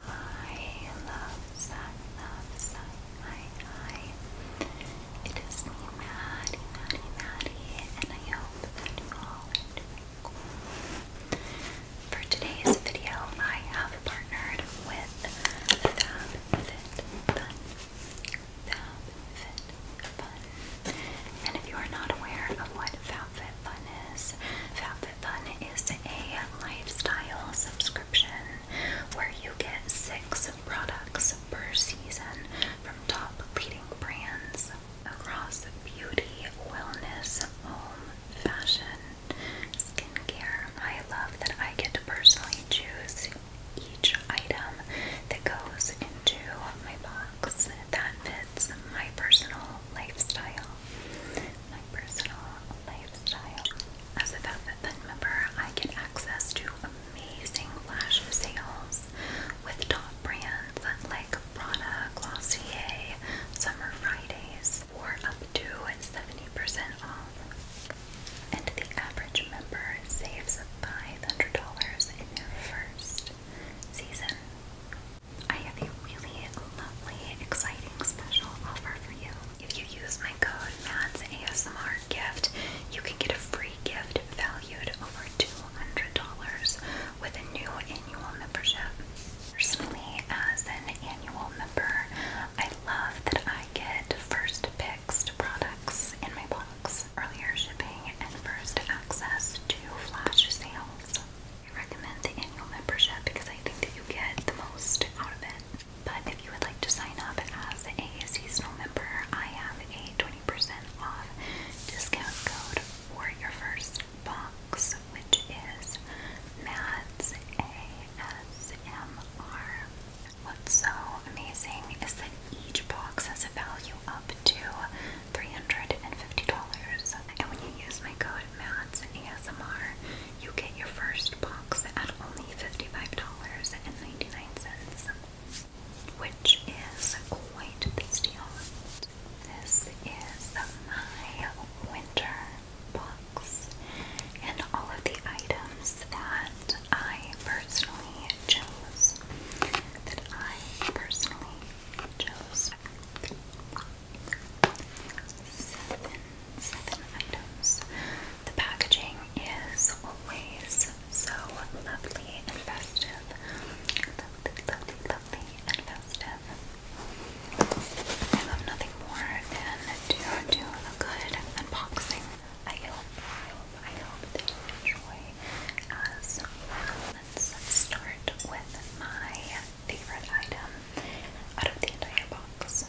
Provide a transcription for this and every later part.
Hi, love sun, love sun, hi, hi. It is me, Maddie, Maddie, Maddie, and I hope that you all are doing cool. For today's video, I have partnered with FabFitFun. FabFitFun. And if you are not aware of what FabFitFun is, Fab fun is a lifestyle subscription where you get six products per season from top leading brands across beauty, wellness, home, fashion, skincare. I love that I get to personally choose each item that goes into my box that fits my personal lifestyle my personal lifestyle. As a Velvet Fund member, I get access to amazing flash sales with top brands like Prada, Glossier, Summer Fridays for up to 70% off. And the average member saves $500 in their first season. I have a really lovely, exciting special offer for you. If you use my code MADSASMRGIFT, you can get a free gift valued over $200 with a new annual membership. Personally, as an annual member, I love that I get first picks to products in my box, earlier shipping, and first access to flash sales. I recommend the annual membership because I think that you get the most out of it. But if you would like to sign up as a seasonal member, I have a 20% off discount code for your first box, which is MADS ASMR. What's so amazing is that each box has a value up to $350. And when you use my code mattes and ASMR, you get your first box at only $55.99, which is quite the deal. This is my winter box and all of the items that I personally chose. That I personally chose seven, items. The packaging is always so lovely and festive. Lovely, lovely, lovely and festive. I love nothing more than to a good unboxing. I hope, I hope, that you enjoy as well. Let's start with my favorite item out of the entire box.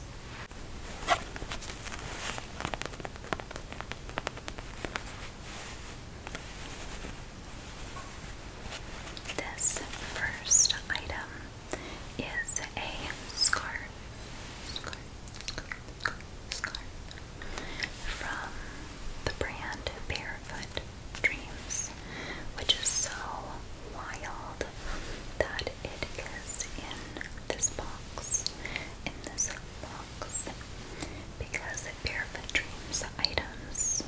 This first item is a scarf, from the brand Barefoot Dreams, which is so wild that it is in this box, in this box, because Barefoot Dreams items,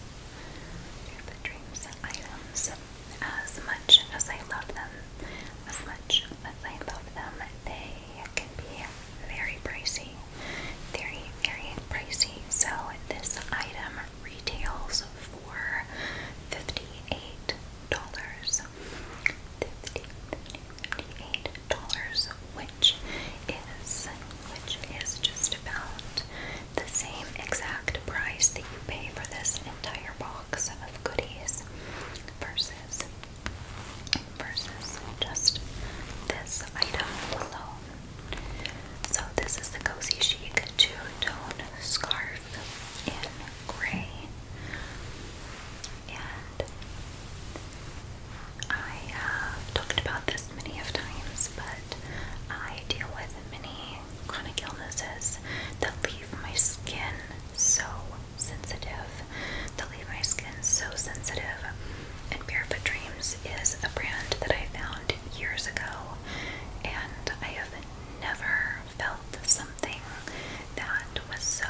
Barefoot Dreams items, as much as I love them, as much as I love them, they can be very pricey, very, very pricey. So this item retails for fifty-eight dollars, fifty, fifty-eight dollars, which is which is just about the same exact price that you pay for this entire box of goodies versus versus just this item alone. So this is the Cozy Chic two-tone scarf in gray. And I have talked about this many of times, but I deal with many chronic illnesses that leave my skin so sensitive, that leave my skin so sensitive. And Barefoot Dreams is a brand that I found years ago, and I have never felt something that was so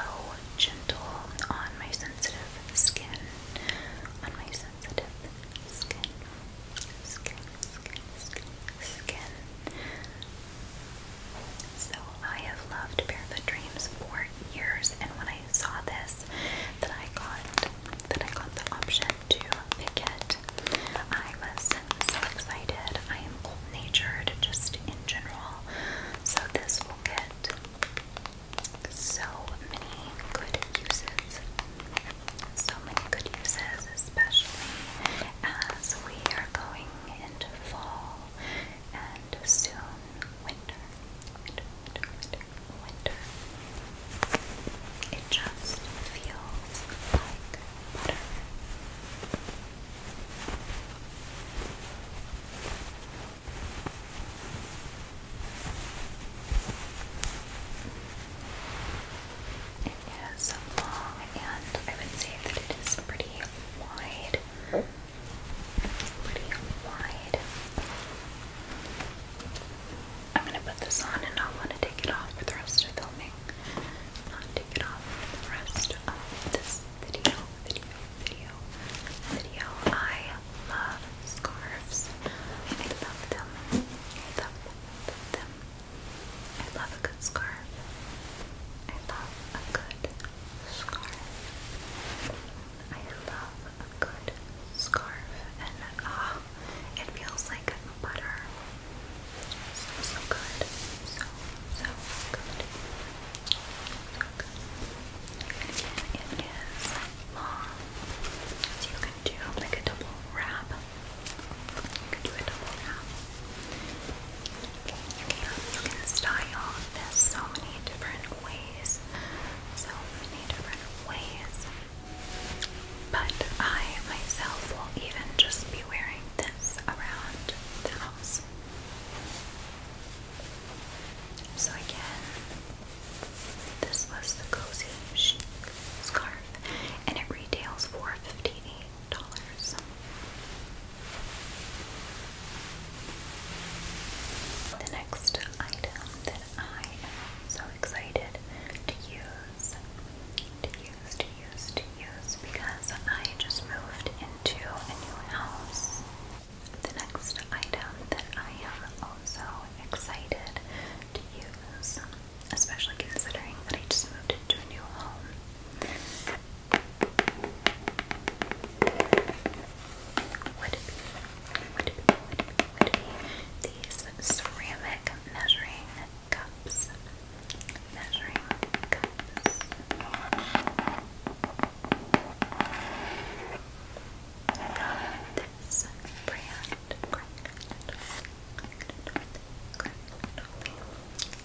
gentle on my sensitive skin. On my sensitive skin. Skin, skin, skin, skin. So I have loved Barefoot Dreams for years and when I saw this that I got that I got the option to pick it. I was so excited. I am natured, just in general. So this will get so many good uses. So many good uses, especially as we are going into fall and soon winter. Winter, winter, winter, It just feels like butter. It is long and I would say that it is pretty wide. Pretty wide. I'm going to put this on and not want to take it off for the rest of filming not take it off for the rest of this video, video, video, video. I love scarves. I love them. I love, love them. I love a good scarf. I love a good scarf. I love a good scarf. And ah, oh, it feels like butter so, so good. So, so good. So good. And again, it is long. So you can do like a double wrap. You can do a double wrap. You can, you can style this so many different ways. So many different ways. But I myself will even just be wearing this around the house. So again, this was the cozy scarf, and it retails for fifteen dollars. The next item that I am so excited to use used, used, used because I just moved into a new house. The next item that I am also excited to use, especially considering that I just moved into a new home, would be these ceramic measuring cups. This brand,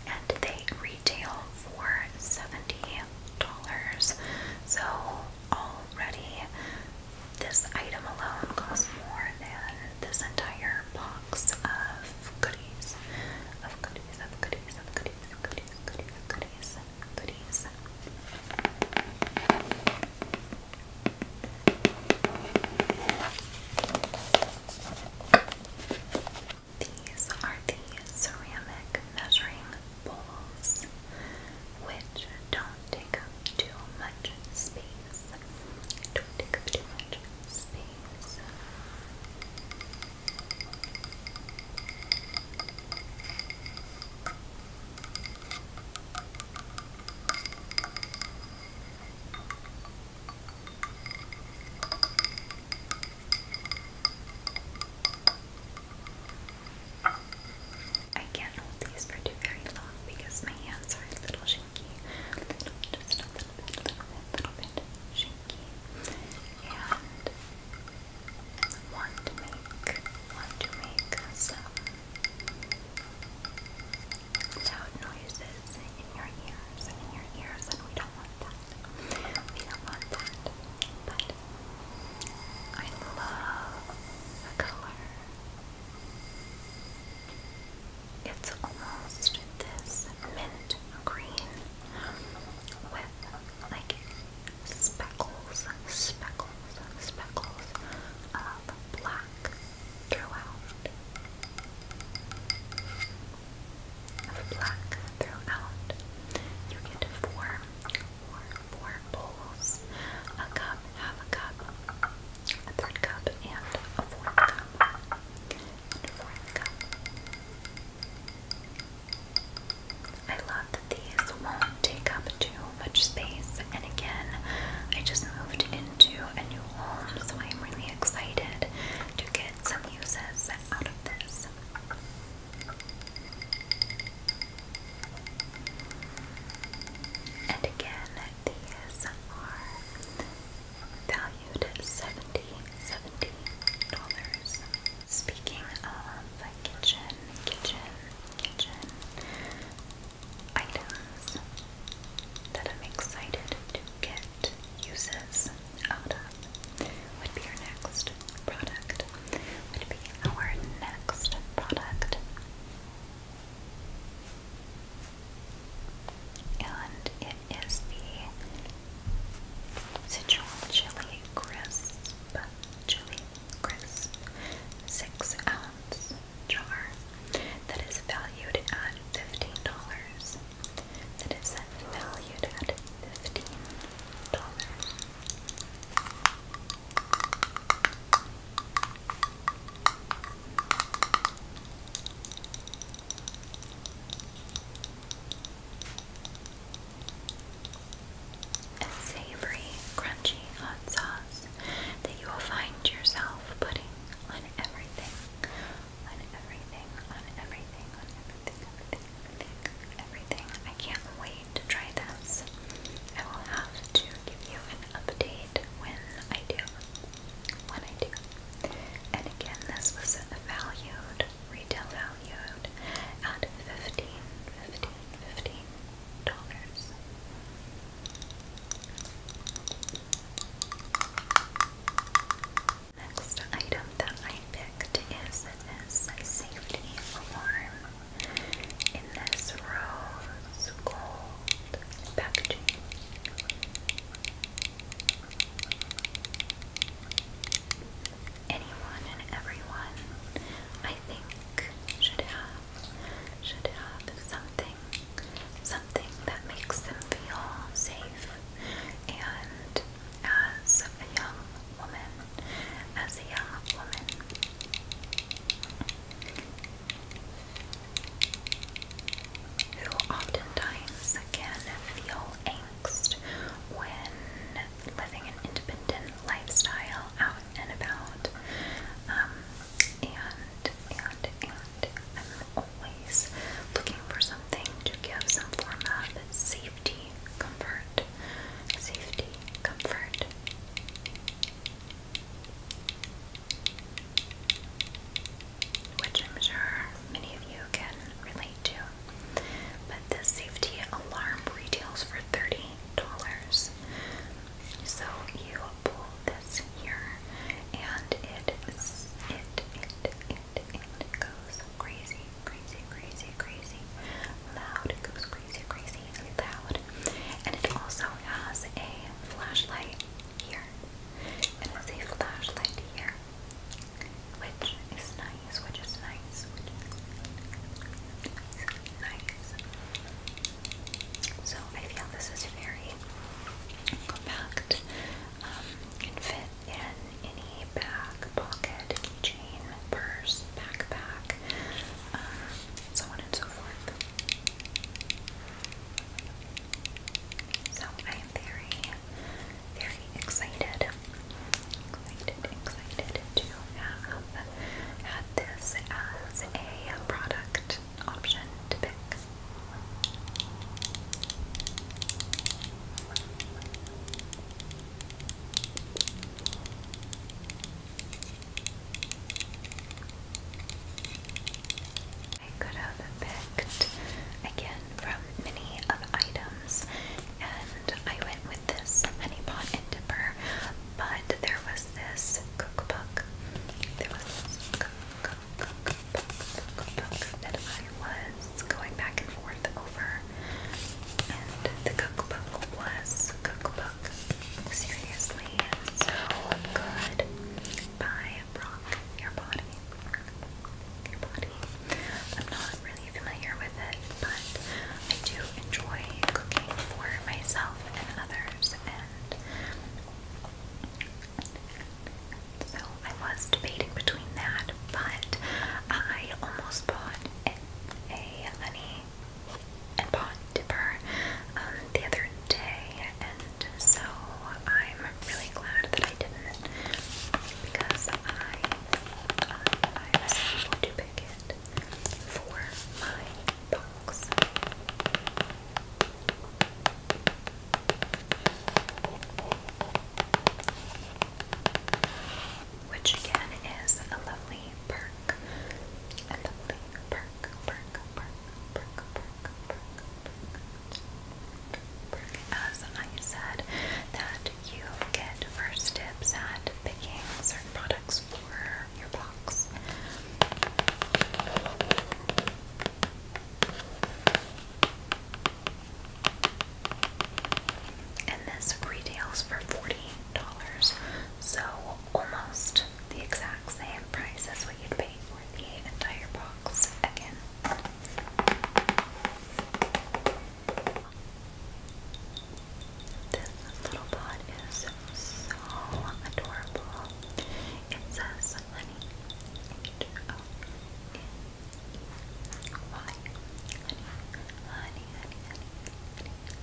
and they retail for seventy dollars. So already, this item alone costs more than this entire box box of These are the ceramic measuring bowls, which don't take up too much space. Don't take up too much space. I can't hold these for too very long because my hands are a little shaky. Just a little bit, little bit shaky and want to make want to make some loud noises in your ears in your ears and we don't want that. We don't want that. But I love the color. It's almost this mint green with like speckles, speckles, speckles of black throughout. Of black throughout. You get four, four, four bowls, a cup, half a cup, a third cup, and a fourth cup. I love that these won't take up too much space, and again, I just moved into a new home, so I'm really excited to get some uses out of this. And again, these are value valued at dollars Speaking of kitchen, kitchen, kitchen items that I'm excited to get uses out of would be our next product. Would be our next product. And it is the Sichuan chili crisp, chili crisp, six ounce jar that is valued at fifteen dollars. That is valued at fifteen dollars a savory, crunchy hot sauce that you will find yourself putting on everything, on everything, on everything, on everything, everything, everything, everything. I can't wait to try this. I will have to give you an update when I do, when I do. And again, this was valued retail value out at fifteen, fifteen, fifteen dollars. Next item that I picked is this safety alarm in this rose gold packaging anyone and everyone I think should have should have something something that makes them feel safe and as a young woman as a young woman who oftentimes can feel when living an independent lifestyle out and about. Um, and, and, and I'm always looking for something to give some form of safety, comfort, safety, comfort. Which I'm sure many of you can relate to. But the safety alarm retails for $30. So you pull this here and it it it it it goes crazy, crazy, crazy, crazy loud. goes crazy, crazy loud. And it also has a flashlight here. It has a flashlight here which is nice, which is nice, which is nice. So I feel this is very compact. Um, can fit in any bag, pocket, chain, purse, backpack, um, so on and so forth. So I am very very excited, excited, excited to have had this as a product option to pick. I could have picked again from many of items, and I went with this mini pot and dipper, but there was this cookbook. There was cookbook, cookbook, that I was going back and forth over, and the cookbook was cookbook. Seriously, so good by Brock. Your body, your body. I'm not really familiar with it, but I do enjoy cooking for myself and others, and so I was debating between that, but I almost bought a, honey and pot dipper um, the other day, and so I'm really glad that I didn't because I I was able to pick it for my box. Which again is a lovely perk. A lovely perk, perk, perk, perk, perk, perk, perk. As I said, that you get first tips at picking certain products for your box. And this retails for $40, so almost the exact same price as what you'd pay for the entire box again. This little pod is so adorable. It says honey. H O N E Y. Honey, honey, honey, honey,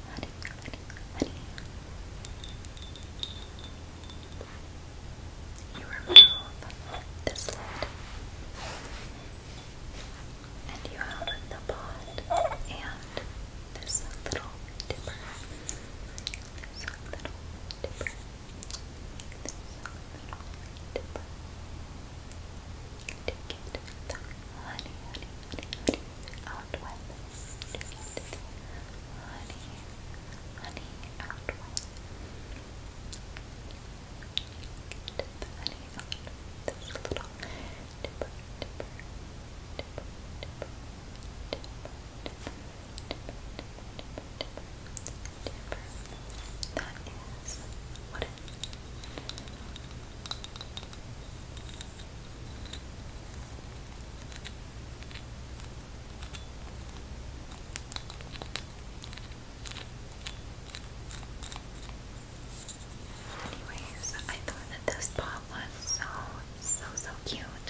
honey, honey, honey, honey. You remove this lid and you have the pot and this little dipper. This little dipper. This little dipper. Take it, the honey, honey, honey, honey, out with. Take honey, honey, out with. Get the honey going on That is what it Anyways, I thought that this pot was so, so, so cute.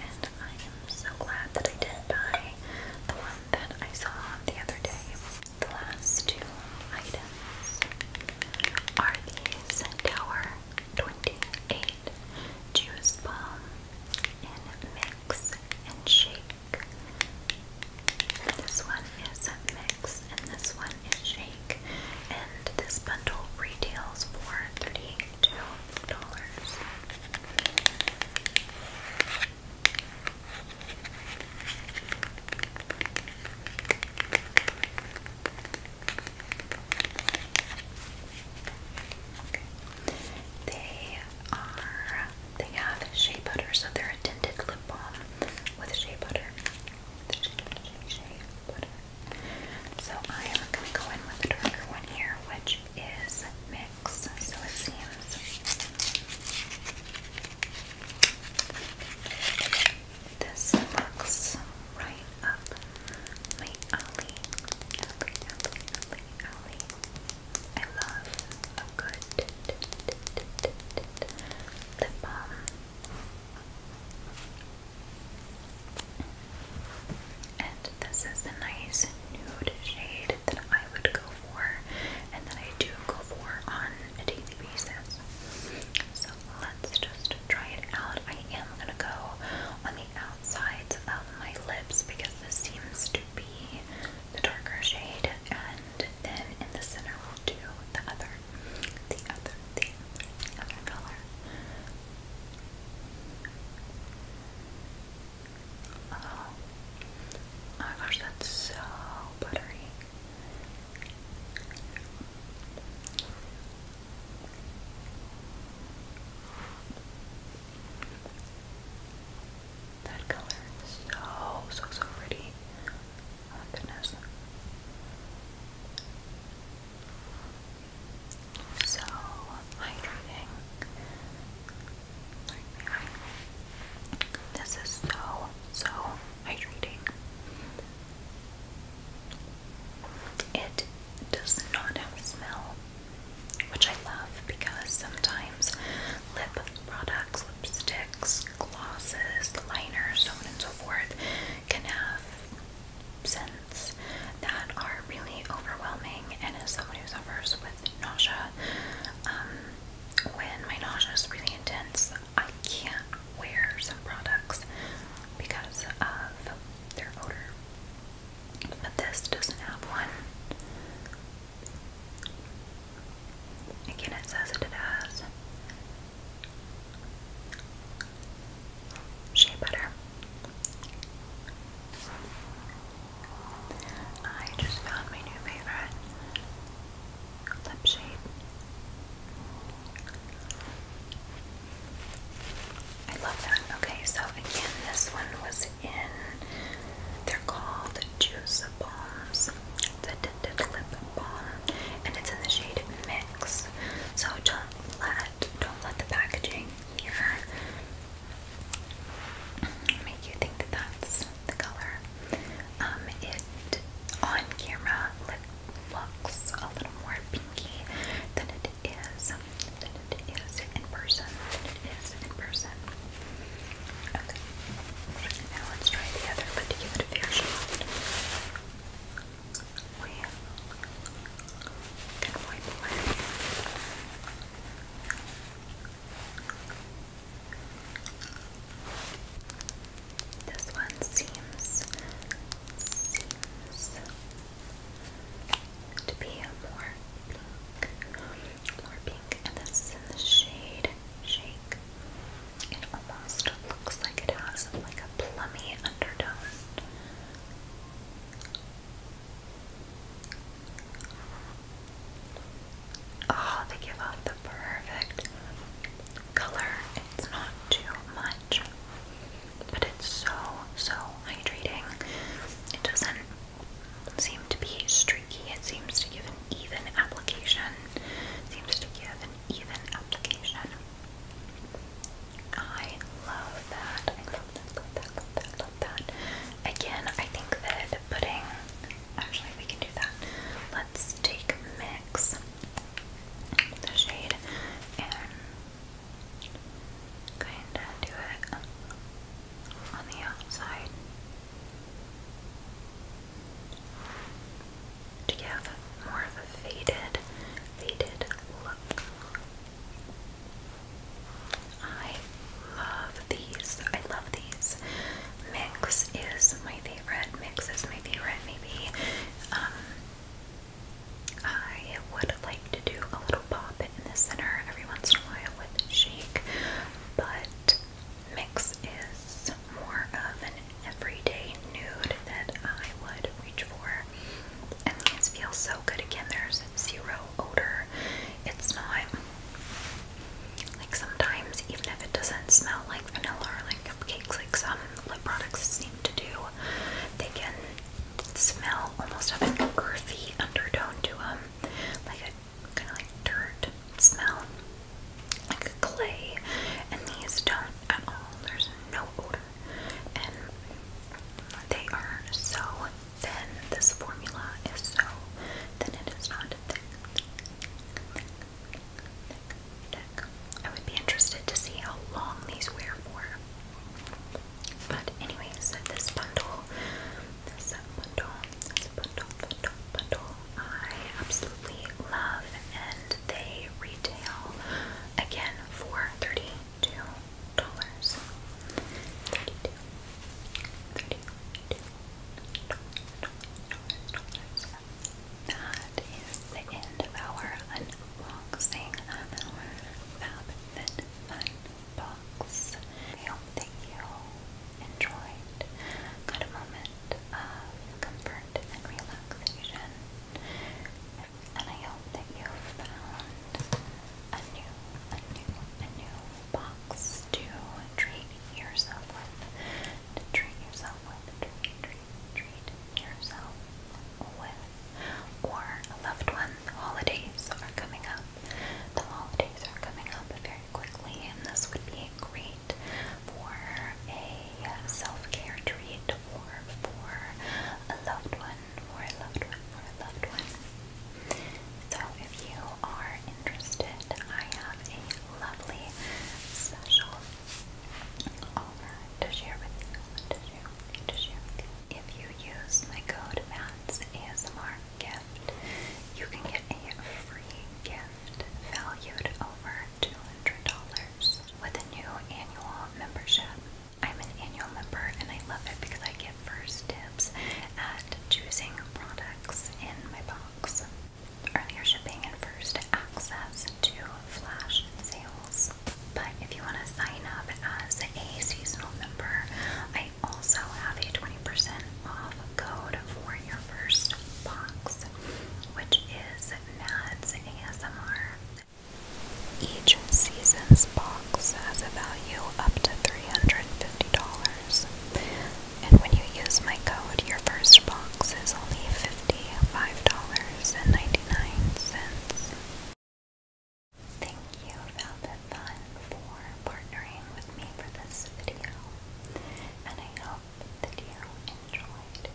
And I am so glad that I did buy the one that I saw the other day. The last two items are these Centaur 28 Juice Bomb in Mix and Shake this one is a mix and this one is shake. And this bundle retails for $32. They are, they have shea butter, so they're a tinted lip balm with shea butter. So I am going to go in with the darker one here, which is Mix, so it seems. This looks right up my alley, alley, alley, alley, alley. I love a good lip balm. And this is a nice nude shade that I would go for and that I do go for on a daily basis. So let's just try it out. I am going to go on the outsides of my lips because this seems to be the darker shade and then in the center we'll do the other the other, the other, color. oh my gosh, that's so buttery. That color is so, so, so pretty. Oh, goodness. So hydrating. This is so, so hydrating. It does not smell, which I love because sometimes lip products lipsticks, glosses, liners, so on and so forth, can have scents that are really overwhelming. And as someone who suffers with nausea, um, when my nausea is really intense, I can't wear some products because of their odor. But this doesn't have one. Again, it says it has shea butter. I just found my new favorite lip shade. I love that. Okay, so again, this one was in, they're called Juice Bombs. It's tinted lip balm, and it's in the shade Mix. So don't let don't let the packaging here make you think that's the color. Um, it on camera looks a little more pinky than it is than it is in person. Than it is in person. Okay. Now let's try the other particular fair shot we can this one seems seems to be a more more pink, and this is in the shade Shake. It almost looks like it has like a plummy undertone. Oh, they give off the perfect color. It's not too much, but it's so, so hydrating. It doesn't seem to be streaky, it seems to give even application, seems to give even application. I love that. love that, love that, love that, love that. Again, I think that putting, actually we can do that. Let's take mix, the shade, and kind of do it on the outside to give more of a faded, faded look. I love these. I love these. Mix is my favorite. Mix is my favorite. Maybe um, I would like to do a little pop in the center every once in a while with shake, but mix is more of an everyday nude that I would reach for. And these feel so good. Again, there's zero odor. It's not like sometimes, even if it doesn't smell like vanilla or like cupcakes, like some lip products seem to do, they can smell almost have an earthy undertone to them, like a kind of like dirt smell like clay, and these don't at all. There's no odor, and they are so thin. This formula is so thin, it is not thick. I would be interested to see how long these wear for. But anyways, this bundle, this bundle, this bundle, bundle, bundle, I absolutely love and they retail again for $32. 32 is the end of our unboxing of our FabFitFun box. I hope that you enjoyed, got moment of comfort and relaxation. And I hope that you found a new, a new, a new box to treat yourself with. To treat yourself with, treat, treat, treat yourself with. Or loved ones. The holidays are coming up. The holidays are coming up very quickly, and this would be a great night for a self-care treat or for a loved one, for a loved one, for a loved one. So if you are interested, I have a lovely special offer to share with you, to share with you, to share with you. If you use my code MATS ASMR gift, you can get a free gift valued over $200 with a new annual membership. I'm an annual member and I love it because I get first dibs at choosing products in my box. Earlier shipping and first access to flash sales. But if you want to sign up as a seasonal member, I also have a 20% off code for your first box, which is Mads ASMR. Each season's box has a value up to $350. And when you use my code, your first box is only $55.99. Thank you, Velvet Fun, for partnering with me for this video. And I hope that you enjoyed